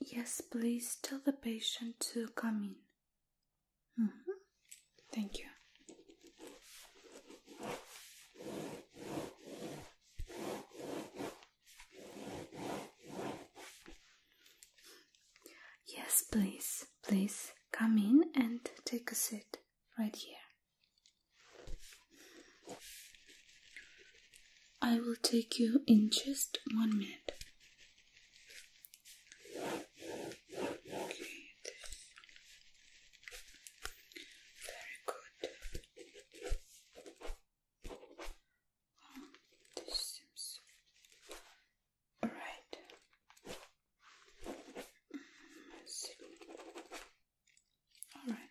Yes, please tell the patient to come in. Mm -hmm. Thank you. Yes, please, please come in and take a seat right here. I will take you in just one minute. Very good. Oh, All right.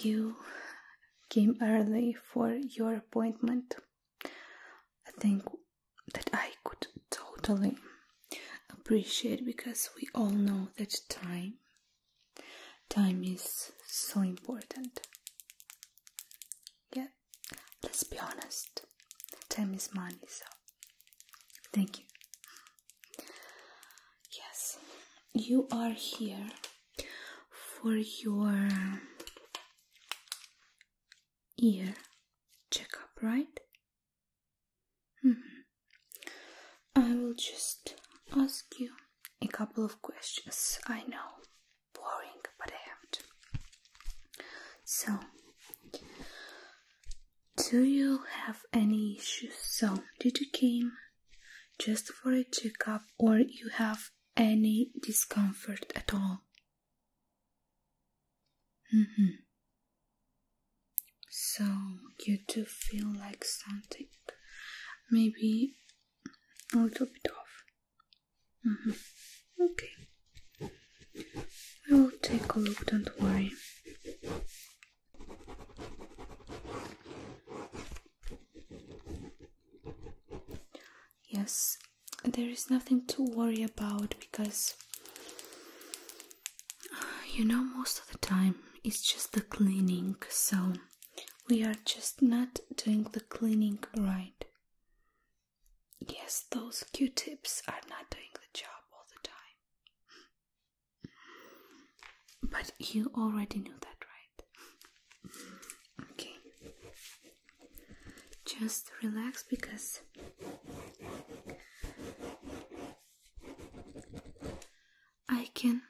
You came early for your appointment. I think that I could totally appreciate because we all know that time time is so important. Yeah, let's be honest. Time is money, so thank you. Yes, you are here for your ear checkup, right? Mm-hmm. I will just ask you a couple of questions. I know, boring, but I have to. So, do you have any issues? So, did you came just for a checkup or you have any discomfort at all? hmm So, you do feel like something maybe a little bit off. hmm Okay. I will take a look, don't worry. Yes, there is nothing to worry about because you know, most of the time it's just the cleaning, so we are just not doing the cleaning right. Yes, those q tips are not doing the job all the time. But you already knew that, right? Okay. Just relax because I can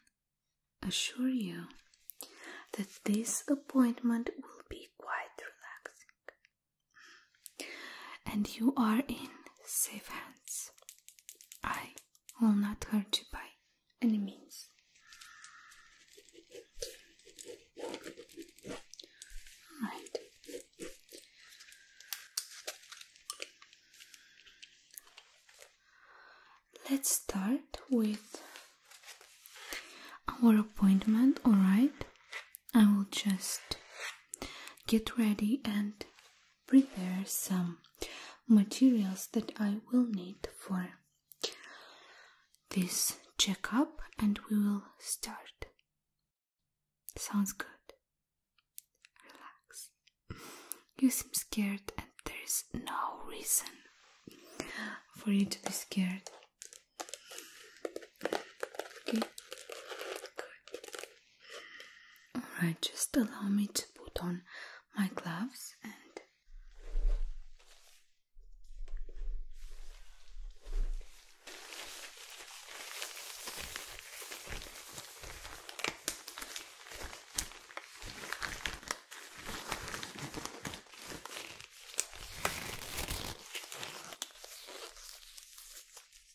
assure you that this appointment will be quite relaxing. And you are in safe hands. I will not hurt you by any means. Right. Let's start with our appointment, alright? I will just get ready and prepare some materials that I will need for this checkup and we will start. Sounds good. Relax. You seem scared, and there is no reason for you to be scared. Okay? Good. Alright, just allow me to put on my gloves and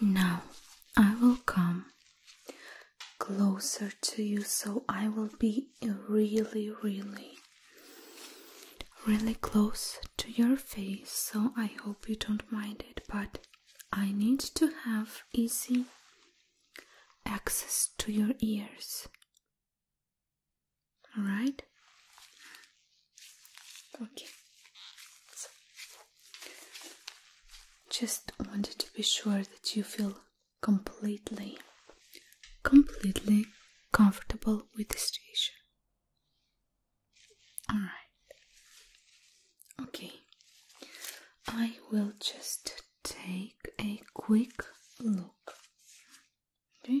Now I will come closer to you so I will be really, really really close to your face, so I hope you don't mind it, but I need to have easy access to your ears. Alright? Okay. So, just wanted to be sure that you feel completely, completely comfortable with the situation. Alright. Okay. I will just take a quick look. Okay.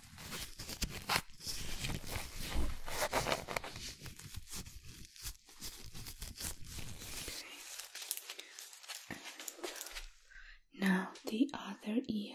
now the other ear.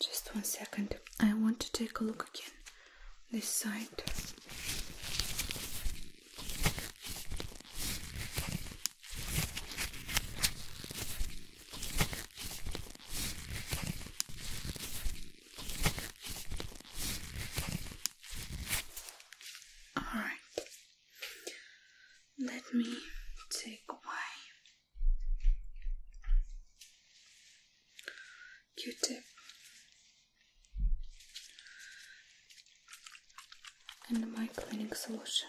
Just one second. I want to take a look again. This side. All right. Let me take my Q-tip and my cleaning solution.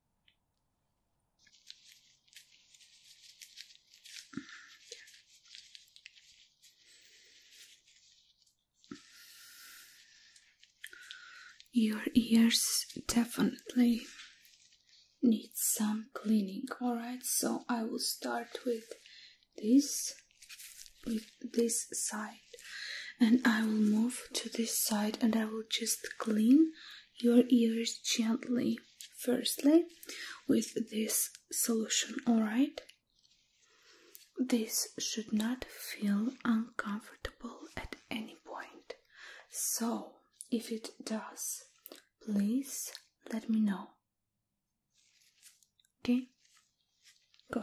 Your ears definitely need some cleaning, alright? So I will start with this, with this side, and I will move to this side and I will just clean your ears gently, firstly, with this solution, alright? This should not feel uncomfortable at any point. So, if it does, please let me know. Okay? Good.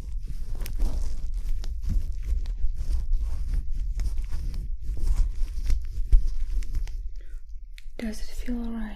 Does it feel alright?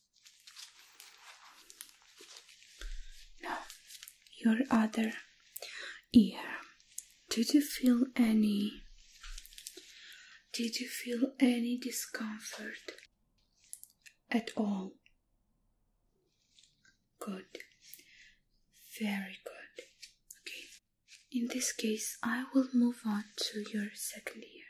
your other ear. Did you feel any? Did you feel any discomfort at all? Good. Very good. Okay. In this case, I will move on to your second ear.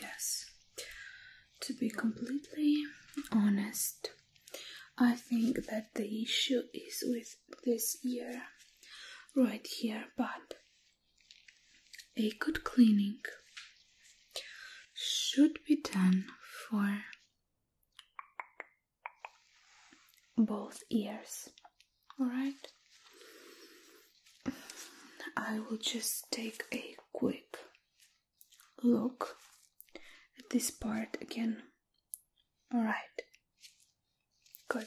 Yes, to be completely honest, I think that the issue is with this ear right here, but a good cleaning should be done for both ears. Alright? I will just take a quick look at this part again. All right. Good.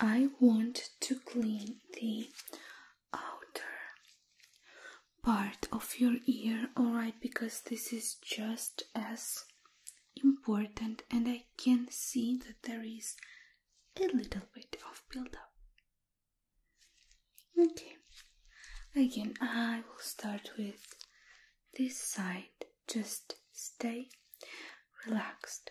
I want to clean the outer part of your ear, alright, because this is just as important and I can see that there is a little bit of buildup. Okay, again, I will start with this side. Just stay relaxed.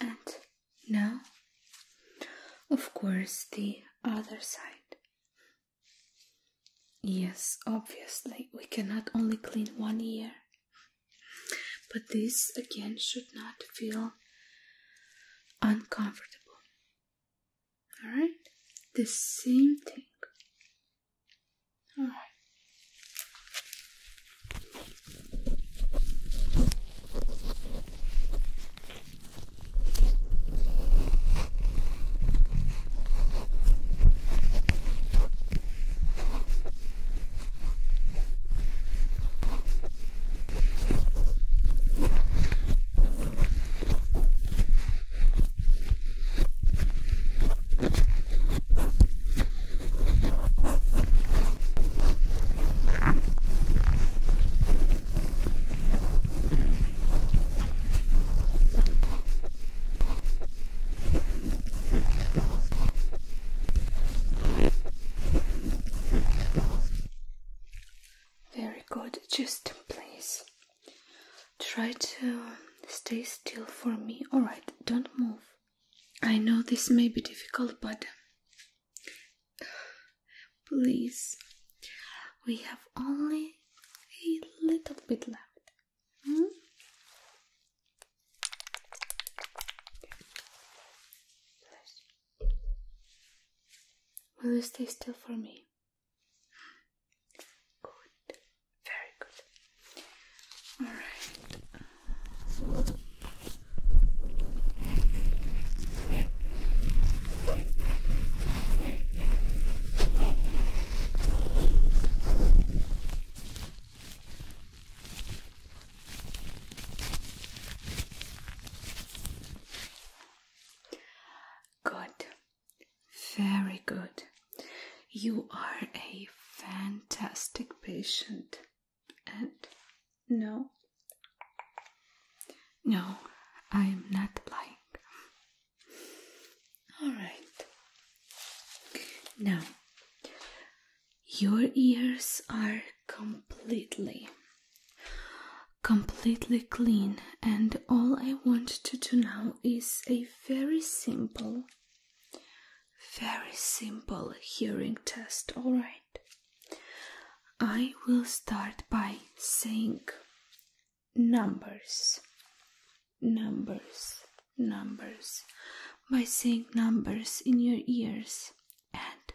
And now, of course, the other side. Yes, obviously, we cannot only clean one ear, but this again should not feel uncomfortable. Alright? The same thing. Alright. Very good, just please Try to stay still for me. Alright, don't move. I know this may be difficult, but please, we have only a little bit left. Hmm? Will you stay still for me? Good. Very good. All right. Good. Very good. You are a fantastic patient. And no, no, I am not lying. Alright. Now, your ears are completely completely clean and all I want to do now is a very simple very simple hearing test all right I will start by saying numbers numbers numbers by saying numbers in your ears and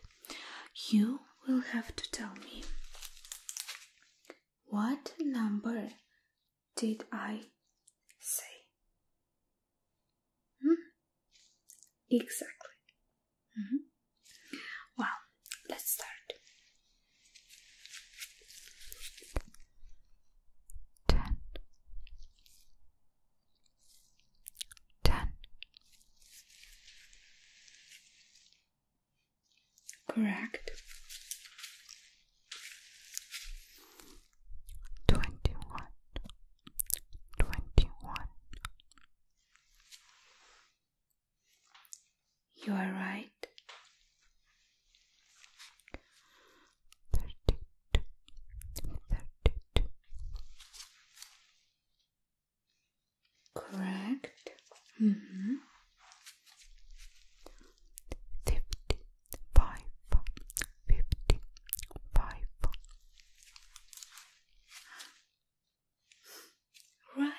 you will have to tell me what number did I say? Hmm? Exactly. Hmm? Well, let's start. Ten. Ten. Correct. Twenty one, twenty one. You are right. Thirty two, thirty two. Correct. Mm -hmm fifty five, fifty five. Right.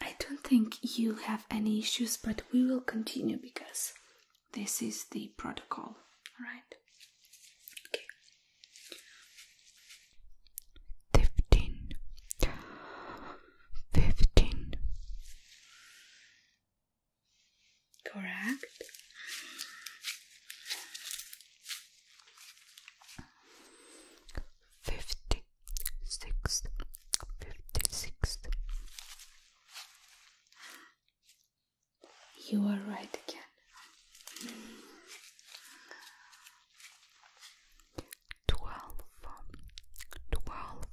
I don't think you have any issues, but we will continue because this is the protocol, right? Okay fifteen, fifteen. Correct. Fifty six, fifty six. You are right again twelve, twelve,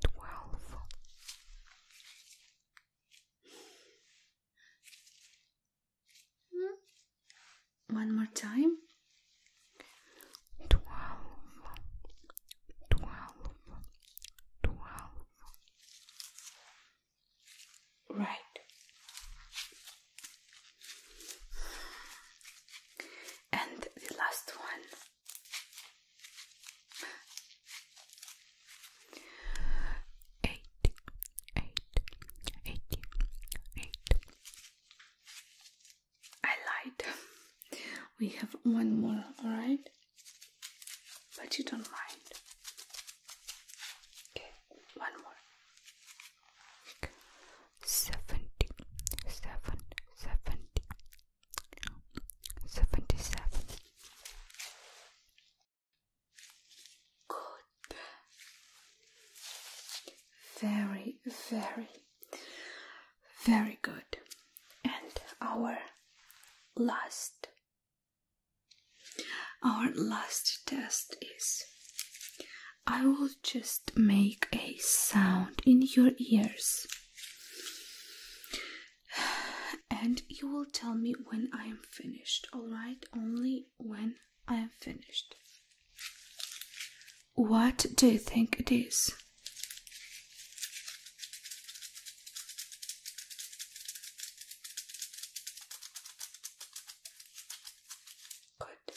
twelve. One more time. Twelve, twelve, twelve. Right. And the last one. Eight, eight, eight, eight. I lied. We have one more, alright? But you don't mind. Okay, one more seventy seven seventy seventy seven good very very very good and our last our last test is I will just make a sound in your ears. And you will tell me when I am finished, alright? Only when I am finished. What do you think it is? Good.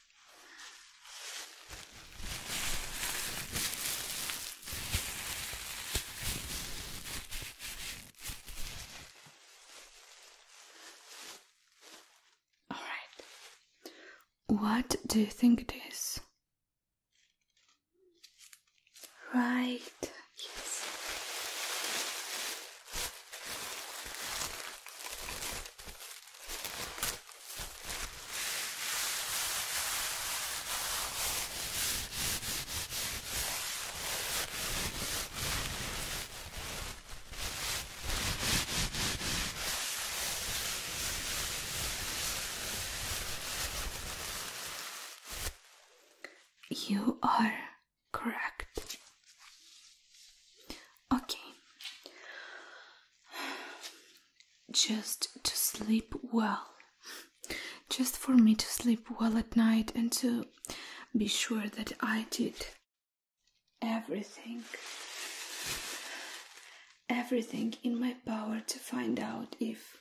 All right. What do you think it is? Right. Yes. You are correct. Okay just to sleep well. Just for me to sleep well at night and to be sure that I did everything. Everything in my power to find out if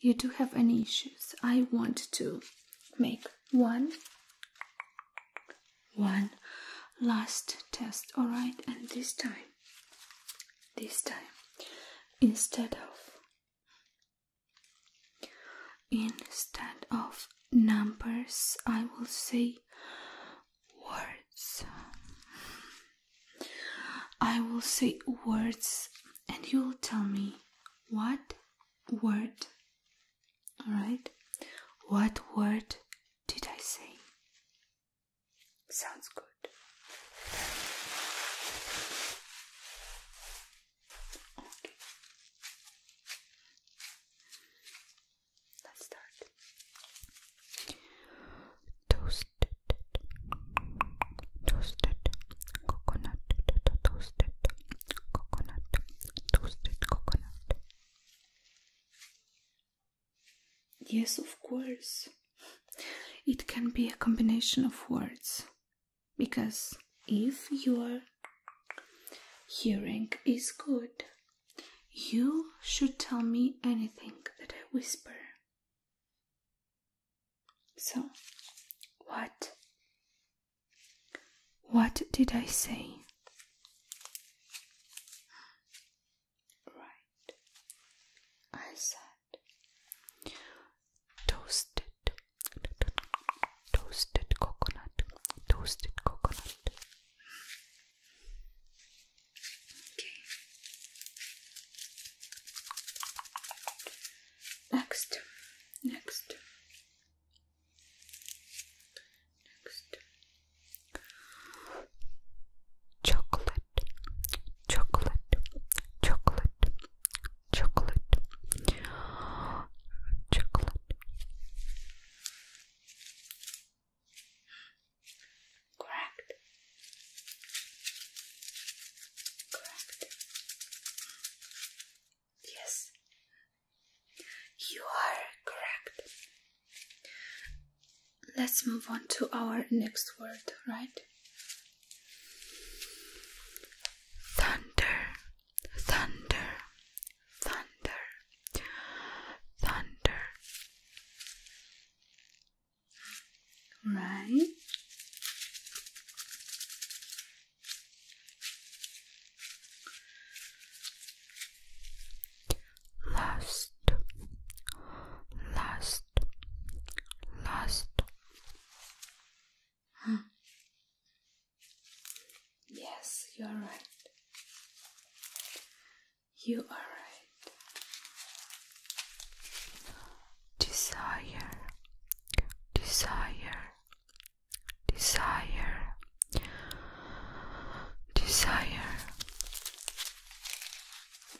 you do have any issues. I want to make one one last test, all right? And this time this time instead of instead of numbers I will say words I will say words and you will tell me what word all right what word did I say Sounds good. Okay. Let's start. Toasted, toasted coconut, toasted coconut, toasted coconut. Yes, of course. It can be a combination of words because if your hearing is good, you should tell me anything that I whisper. So, what? What did I say? Right, I said toasted, toasted coconut, toasted coconut. Okay. Next, next, next chocolate, chocolate, chocolate, chocolate, chocolate. Correct. Correct. Yes, you are correct let's move on to our next word, right? Thunder, thunder, thunder, thunder. Right? last last last hmm. yes you are right you are right desire desire desire desire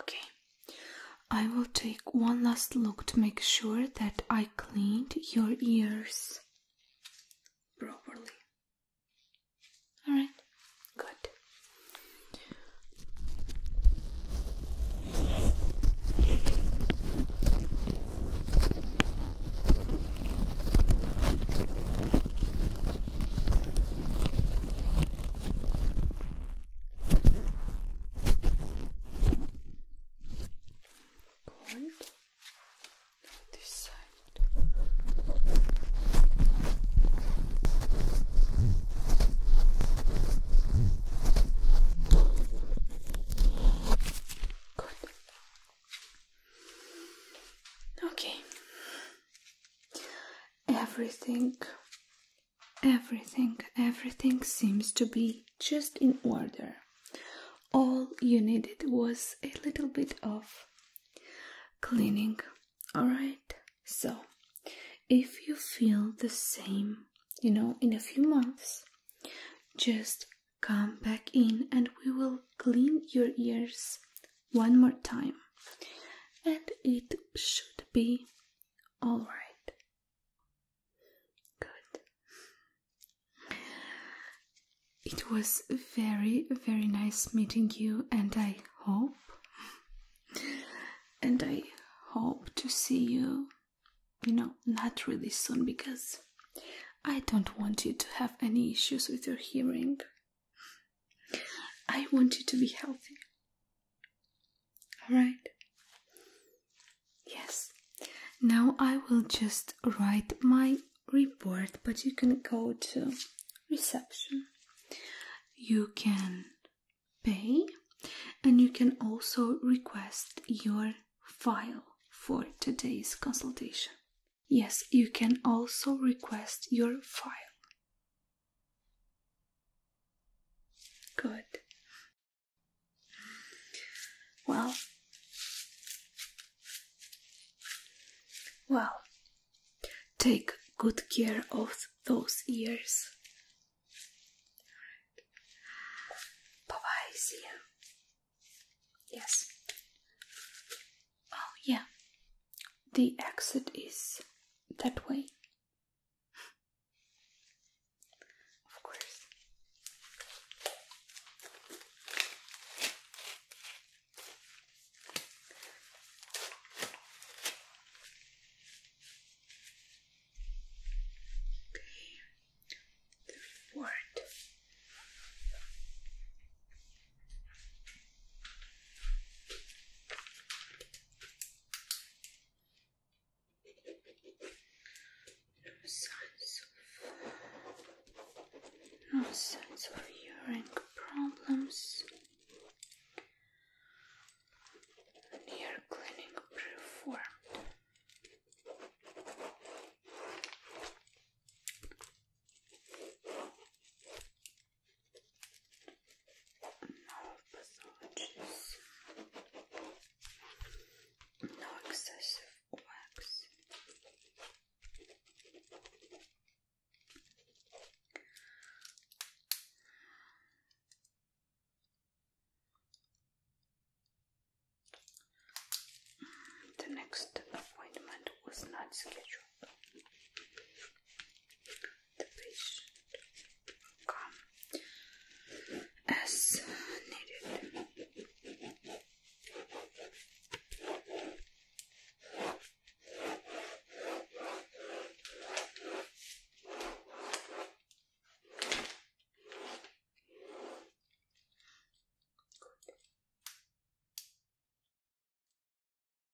Okay, I will take one last look to make sure that I cleaned your ears properly. Alright, good. Cold. This side. Good. Okay everything, everything, everything seems to be just in order. All you needed was a little bit of cleaning, alright? So, if you feel the same, you know, in a few months, just come back in and we will clean your ears one more time and it should be all right. Good. It was very, very nice meeting you, and I hope, and I hope to see you, you know, not really soon because I don't want you to have any issues with your hearing. I want you to be healthy. Alright? Yes. Now I will just write my report, but you can go to reception. You can pay and you can also request your file for today's consultation. Yes, you can also request your file. Good. Well, well, take good care of those ears. Bye bye, see you. Yes. Oh, yeah. The exit is that way. of course. Okay. The report. No signs of no signs of hearing problems. Ear cleaning performed. No passages. No excessive wax. The next appointment was not scheduled the patient come as needed.